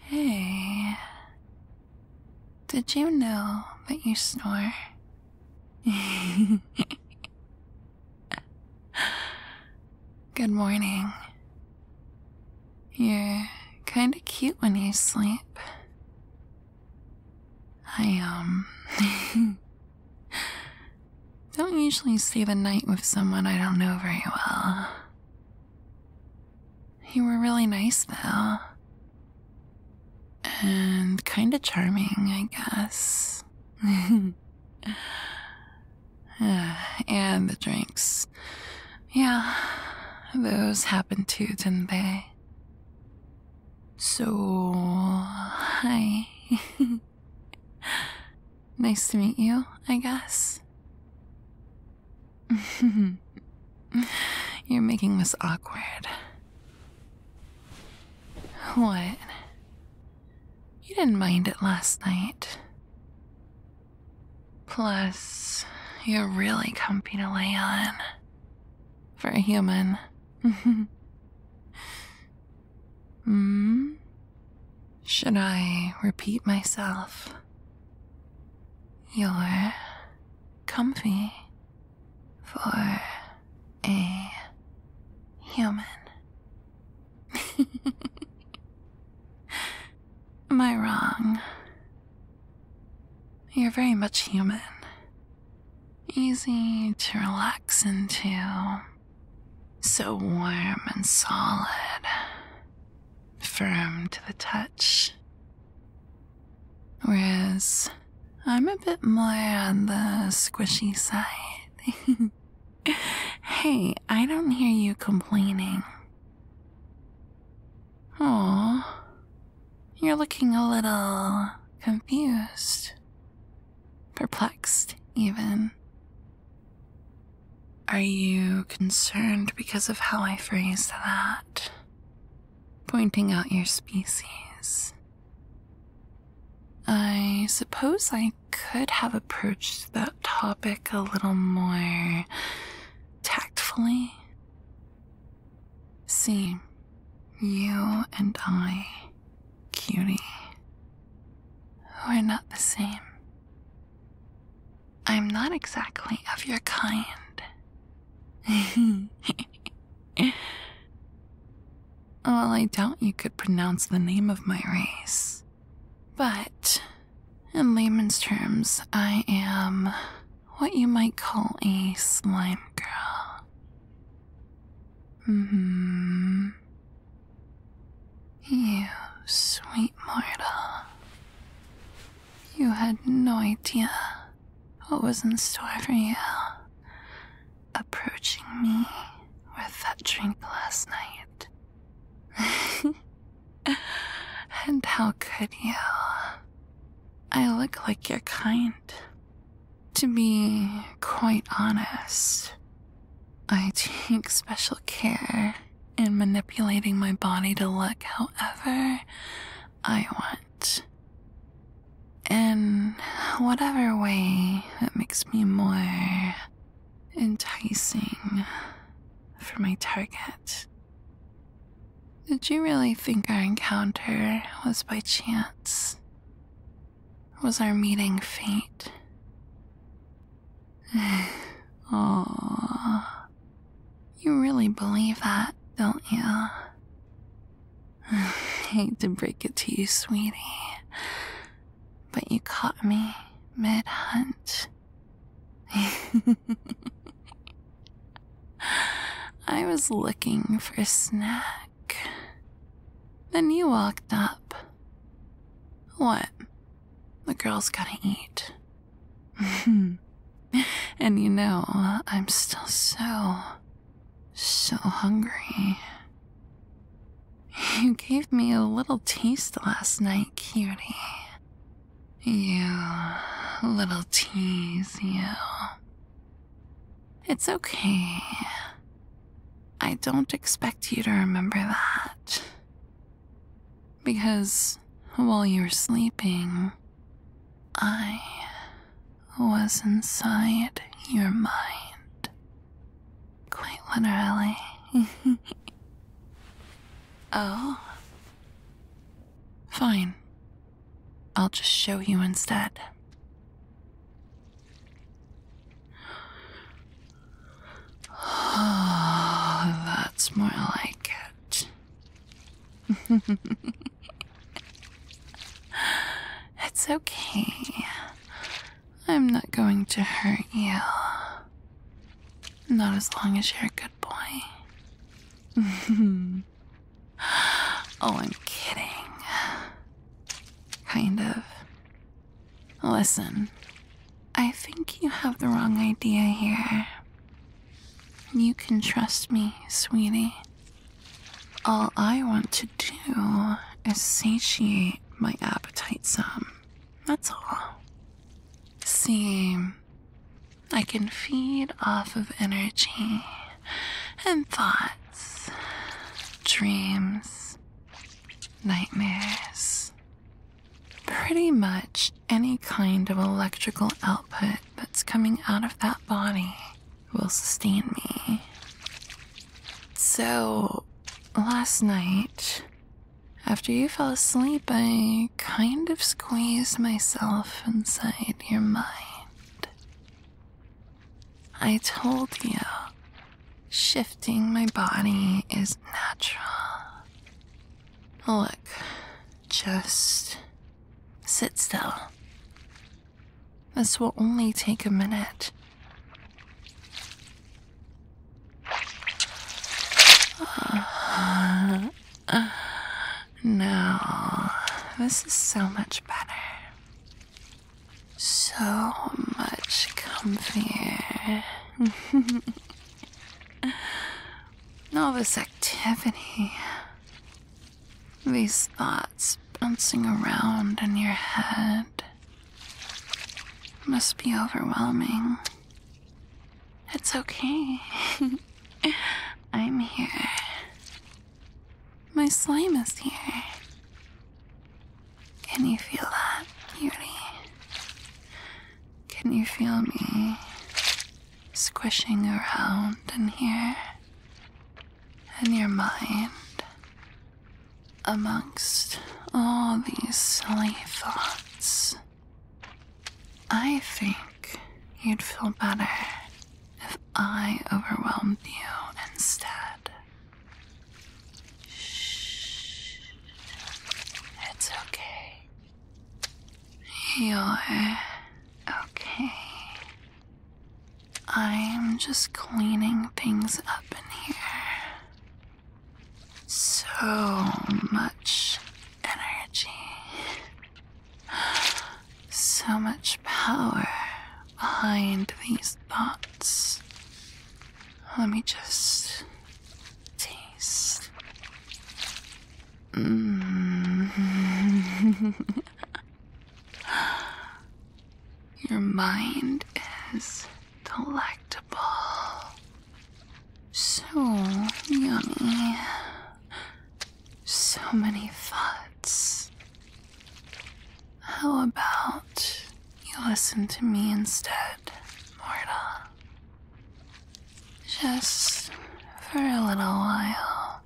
Hey, did you know that you snore? Good morning. You're kinda cute when you sleep. I, am. Um, Don't usually stay the night with someone I don't know very well. You were really nice, though. And kinda charming, I guess. and the drinks. Yeah, those happened too, didn't they? So, hi. nice to meet you, I guess. You're making this awkward. What? You didn't mind it last night. Plus, you're really comfy to lay on. For a human. hmm? Should I repeat myself? You're comfy for a human. Am I wrong? You're very much human, easy to relax into, so warm and solid, firm to the touch. Whereas I'm a bit more on the squishy side. hey, I don't hear you complaining. Oh, you're looking a little confused. Perplexed, even. Are you concerned because of how I phrased that? Pointing out your species. I suppose I could have approached that topic a little more tactfully. See, you and I cutie. We're not the same. I'm not exactly of your kind. well, I doubt you could pronounce the name of my race. But, in layman's terms, I am what you might call a slime girl hmm You sweet Marta. You had no idea what was in store for you. Approaching me with that drink last night. and how could you? I look like your kind, to be quite honest, I take special care in manipulating my body to look however I want. In whatever way that makes me more enticing for my target. Did you really think our encounter was by chance? was our meeting fate? oh, you really believe that, don't you? I hate to break it to you, sweetie, but you caught me mid hunt. I was looking for a snack. Then you walked up. What? The girl's gotta eat. and you know, I'm still so, so hungry. You gave me a little taste last night, cutie. You little tease, you. It's okay. I don't expect you to remember that. Because while you were sleeping, I was inside your mind. Quite literally. oh? Fine. I'll just show you instead. that's more like it. it's okay. I'm not going to hurt you. Not as long as you're a good boy. oh, I'm kidding. Kind of. Listen, I think you have the wrong idea here. You can trust me, sweetie. All I want to do is satiate my appetite some. That's all. See, I can feed off of energy and thoughts, dreams, nightmares. Pretty much any kind of electrical output that's coming out of that body will sustain me. So, last night, after you fell asleep, I kind of squeezed myself inside your mind. I told you, shifting my body is natural. Look, just sit still. This will only take a minute. no, this is so much better so much comfier. All this activity, these thoughts bouncing around in your head, must be overwhelming. It's okay. I'm here. My slime is here. Can you feel that, beauty? Can you feel me squishing around in here? in your mind amongst all these silly thoughts. I think you'd feel better if I overwhelmed you instead. Shh. It's okay. You're okay. I'm just cleaning things up in here. So much energy. So much power behind these Thoughts. let me just taste. Mm. Your mind is delectable. So yummy. So many thoughts. How about you listen to me instead, Morta? Just for a little while,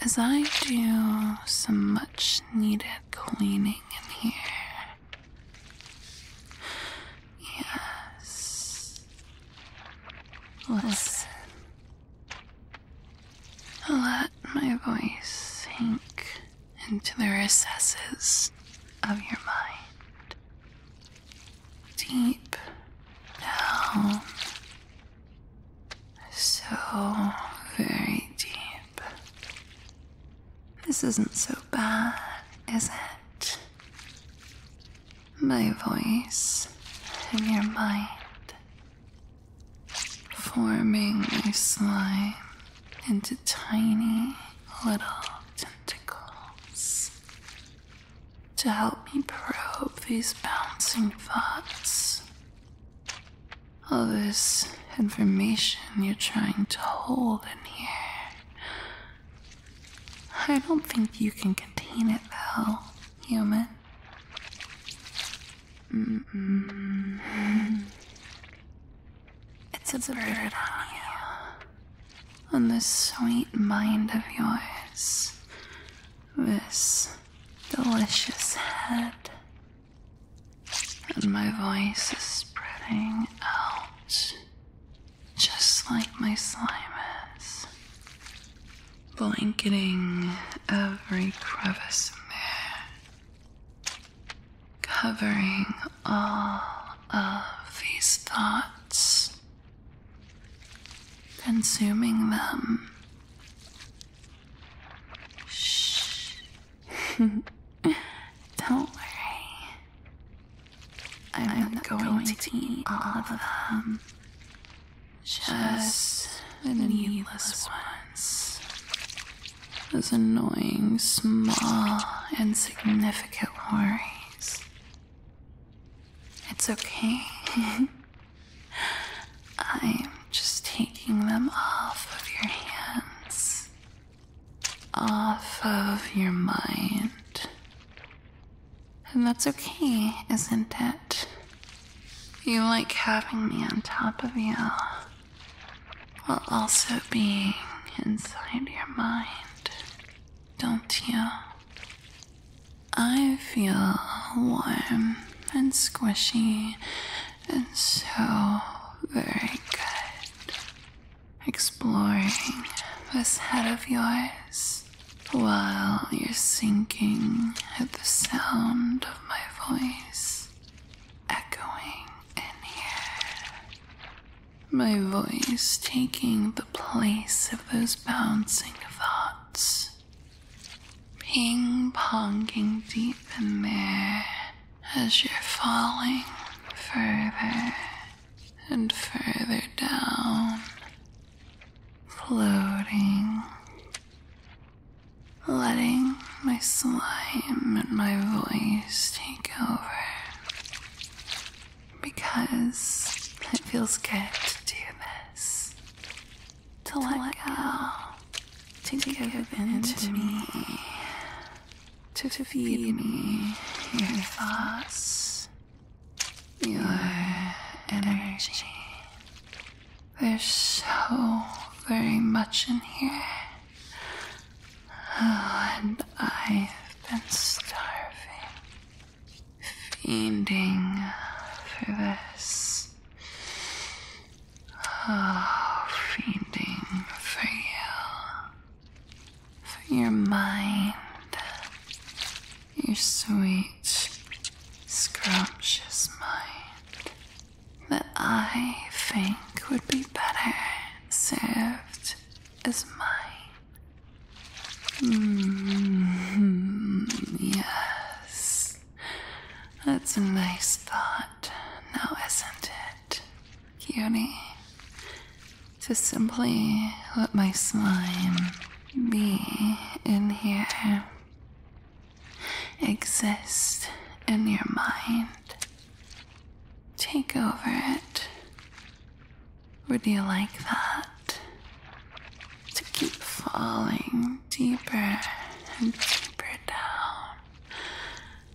as I do some much needed cleaning in here. Yes. Listen let my voice sink into the recesses of your mind. Deep down. So very deep. This isn't so bad, is it? My voice in your mind forming my slime into tiny little tentacles to help me probe these bouncing thoughts. All this information you're trying to hold in here. I don't think you can contain it though, human. It's a bird on you. this sweet mind of yours. This delicious head. And my voice is spreading out. Just like my slime is. Blanketing every crevice there covering all of these thoughts, consuming them. Shh. Don't worry. I'm, not going, to, eat all of them. Just a needless one. Those annoying, small, insignificant worries. It's okay. I'm just taking them off of your hands, off of your mind. And that's okay, isn't it? You like having me on top of you while also being inside your mind, don't you? I feel warm and squishy and so very good. Exploring this head of yours while you're sinking at the sound of my voice echoing in here. My voice taking the place of those bouncing thoughts. Ping ponging deep in there as you're falling further and further down, floating letting my slime and my voice take over because it feels good to do this. To, let, go, to, to give, give into me, to, to feed me your thoughts, your energy. There's so very much in here. Oh, and I've been starving, fiending for this. Oh, fiending for you, for your mind, your sweet, scrumptious mind that I think would be better served as mine. Mm, yes, that's a nice thought, now isn't it, cutie? To simply let my slime be in here exist in your mind. Take over it. Would you like that? To keep falling deeper and deeper down,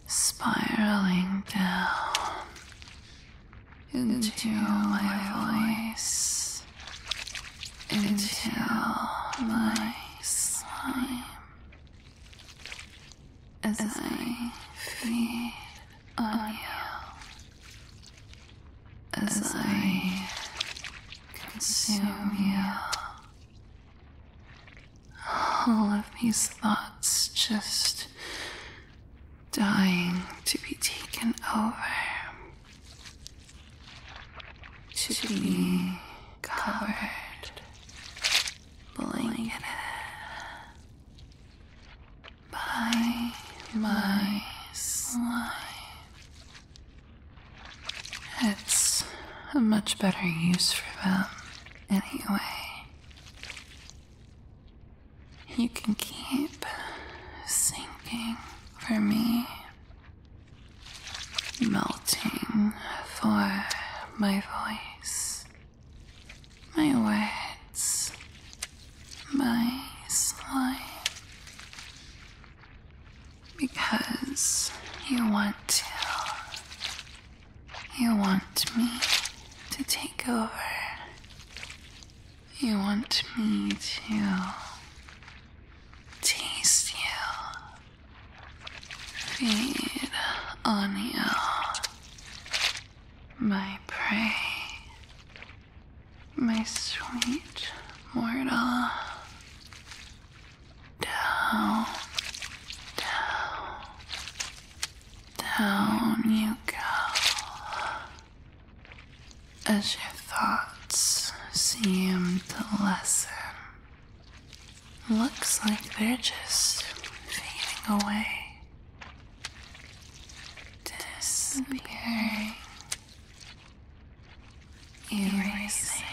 spiraling down into, into my voice, into my slime as, I feed on you, as, I consume you. All of these thoughts just dying to be taken over, to, to be covered blanketed by my slime. It's a much better use for them, anyway. You can keep sinking for me melting for my voice, my words, my slime. Because you want to. You want me to take over. You want me to taste you. Feed on you, my prey, my sweet mortal. Down, down, down you go. As your thoughts seem to lessen Looks like they're just fading away, disappearing, erasing.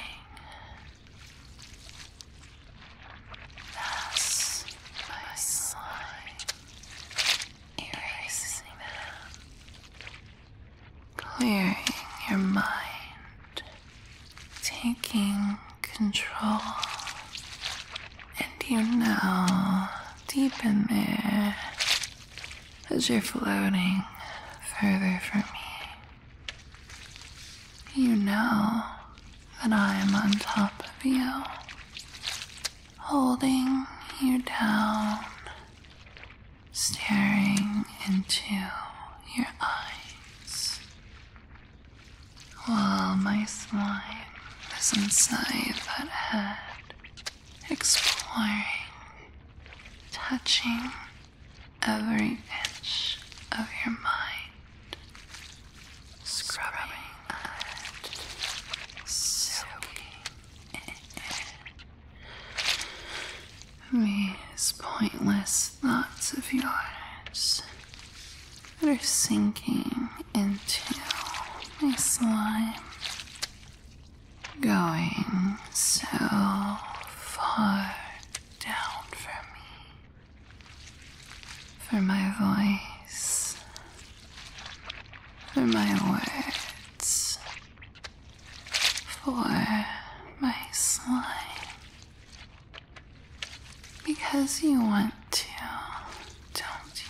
Thus, by slime, erasing them, clearing your mind taking control. And you know, deep in there, as you're floating further from me, you know that I am on top of you, holding you down, staring into your eyes. While my slime is inside that head, exploring, touching every inch of your mind, scrubbing, soaking in. These pointless thoughts of yours that are sinking into my slime, going so far down for me, for my voice, for my words, for my slime. Because you want to, don't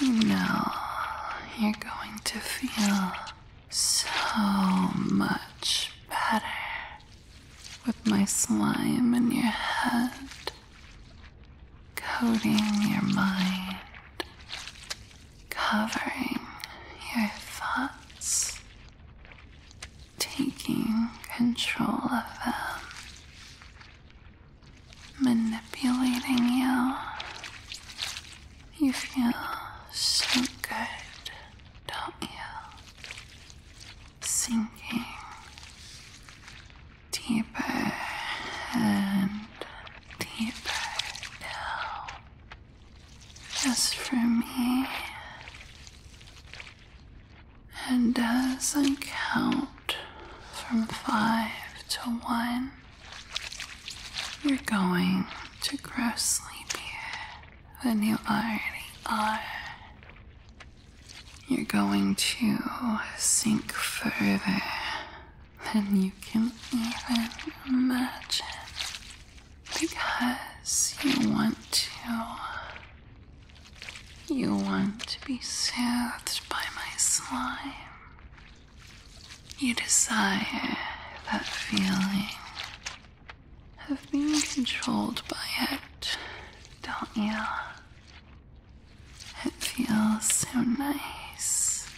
you? You you're going to feel so much better with my slime in your head, coating your mind, covering your thoughts taking control of them, manipulating you. You feel so good, don't you? Sinking deeper and deeper down just for me. And as I count from five to one, you're going to grow sleepier than you already are. You're going to sink further than you can even imagine. Because you want to. You want to be soothed by my slime. You desire that feeling of being controlled by it, don't you? It feels so nice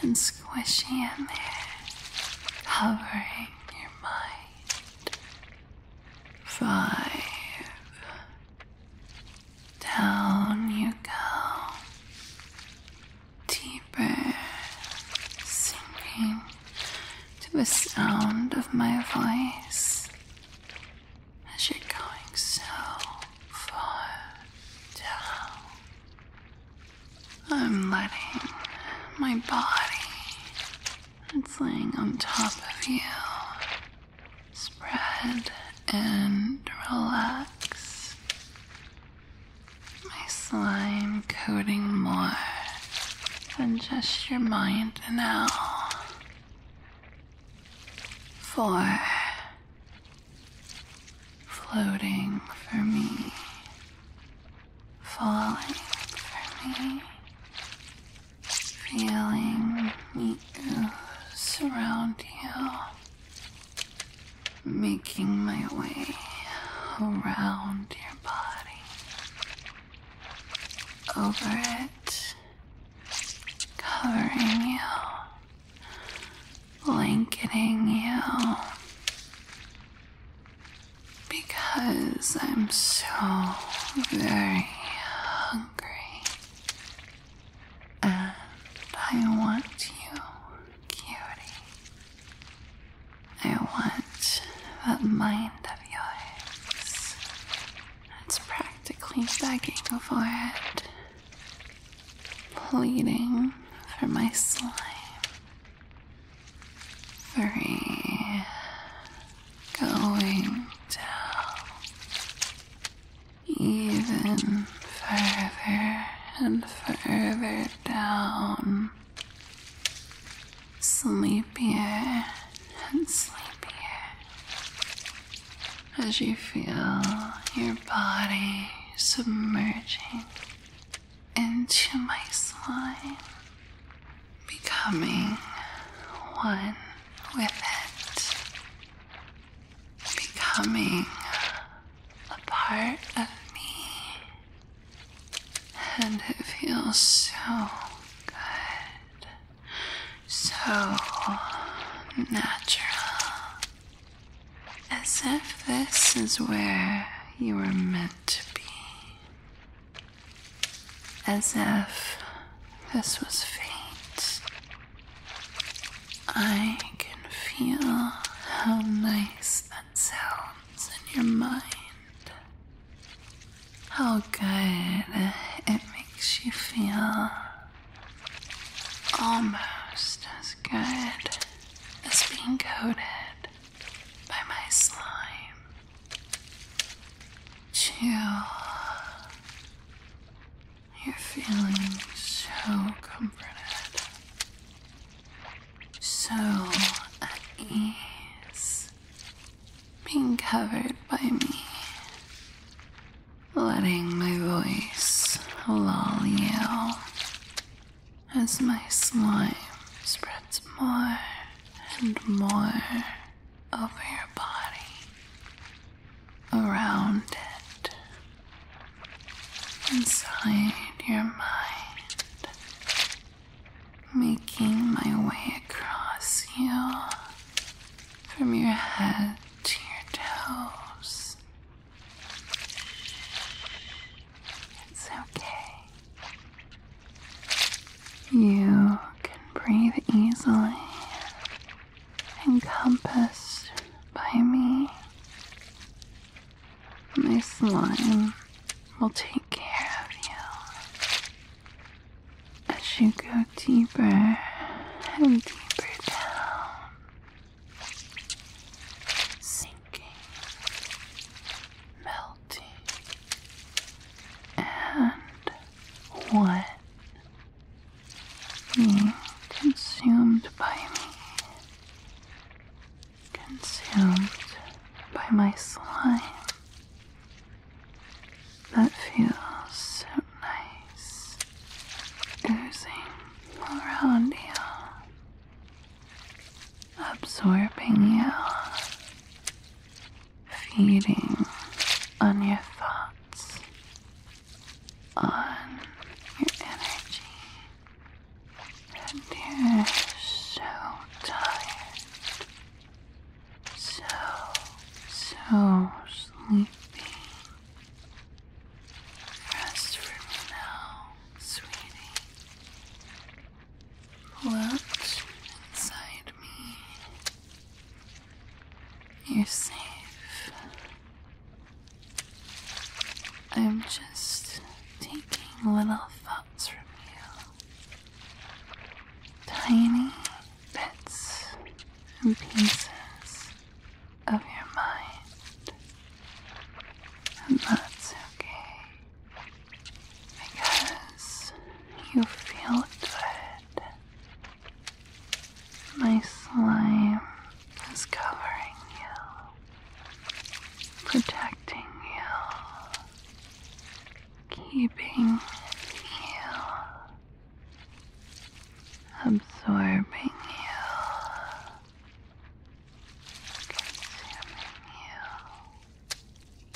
and squishy in there, covering your mind. Five. Down you go. Deeper. Sinking to the sound of my voice as you're going so far down. I'm letting my body, it's laying on top of you, spread and relax. My slime coating more than just your mind now. Four. Floating for me falling for me, feeling me surround you, making my way around your body, over it, covering you, blanketing you because I'm so very hungry and I want you, cutie. I want that mind of yours. It's practically begging for it, pleading for my slime three, going down even further and further down, sleepier and sleepier as you feel your body submerging into my slime, becoming one with it, becoming a part of me, and it feels so good, so natural, as if this is where you were meant to be as if this was fate. I can feel how nice that sounds in your mind. How good it makes you feel. Almost as good as being coated by my slime. Chill. You're feeling so comforted, so at ease, being covered by me, letting my voice lull you as my slime spreads more and more over your body, around it, inside your mind, making my way across you from your head to your toes. It's okay. You can breathe easily, encompassed by me. My slime will take care of you as you go deeper and deeper down, sinking, melting salty and wet being consumed by me, consumed by my slime that feels so nice oozing around you absorbing you, feeding on your thoughts, on your energy, and you're so tired, so, so sleepy. Rest for me now, sweetie. Watch inside me. You're safe. I'm just taking little thoughts from you. Tiny bits and pieces of your mind. And that's okay because you feel good. My slime is covering you, protecting you, keeping you, absorbing you, consuming you.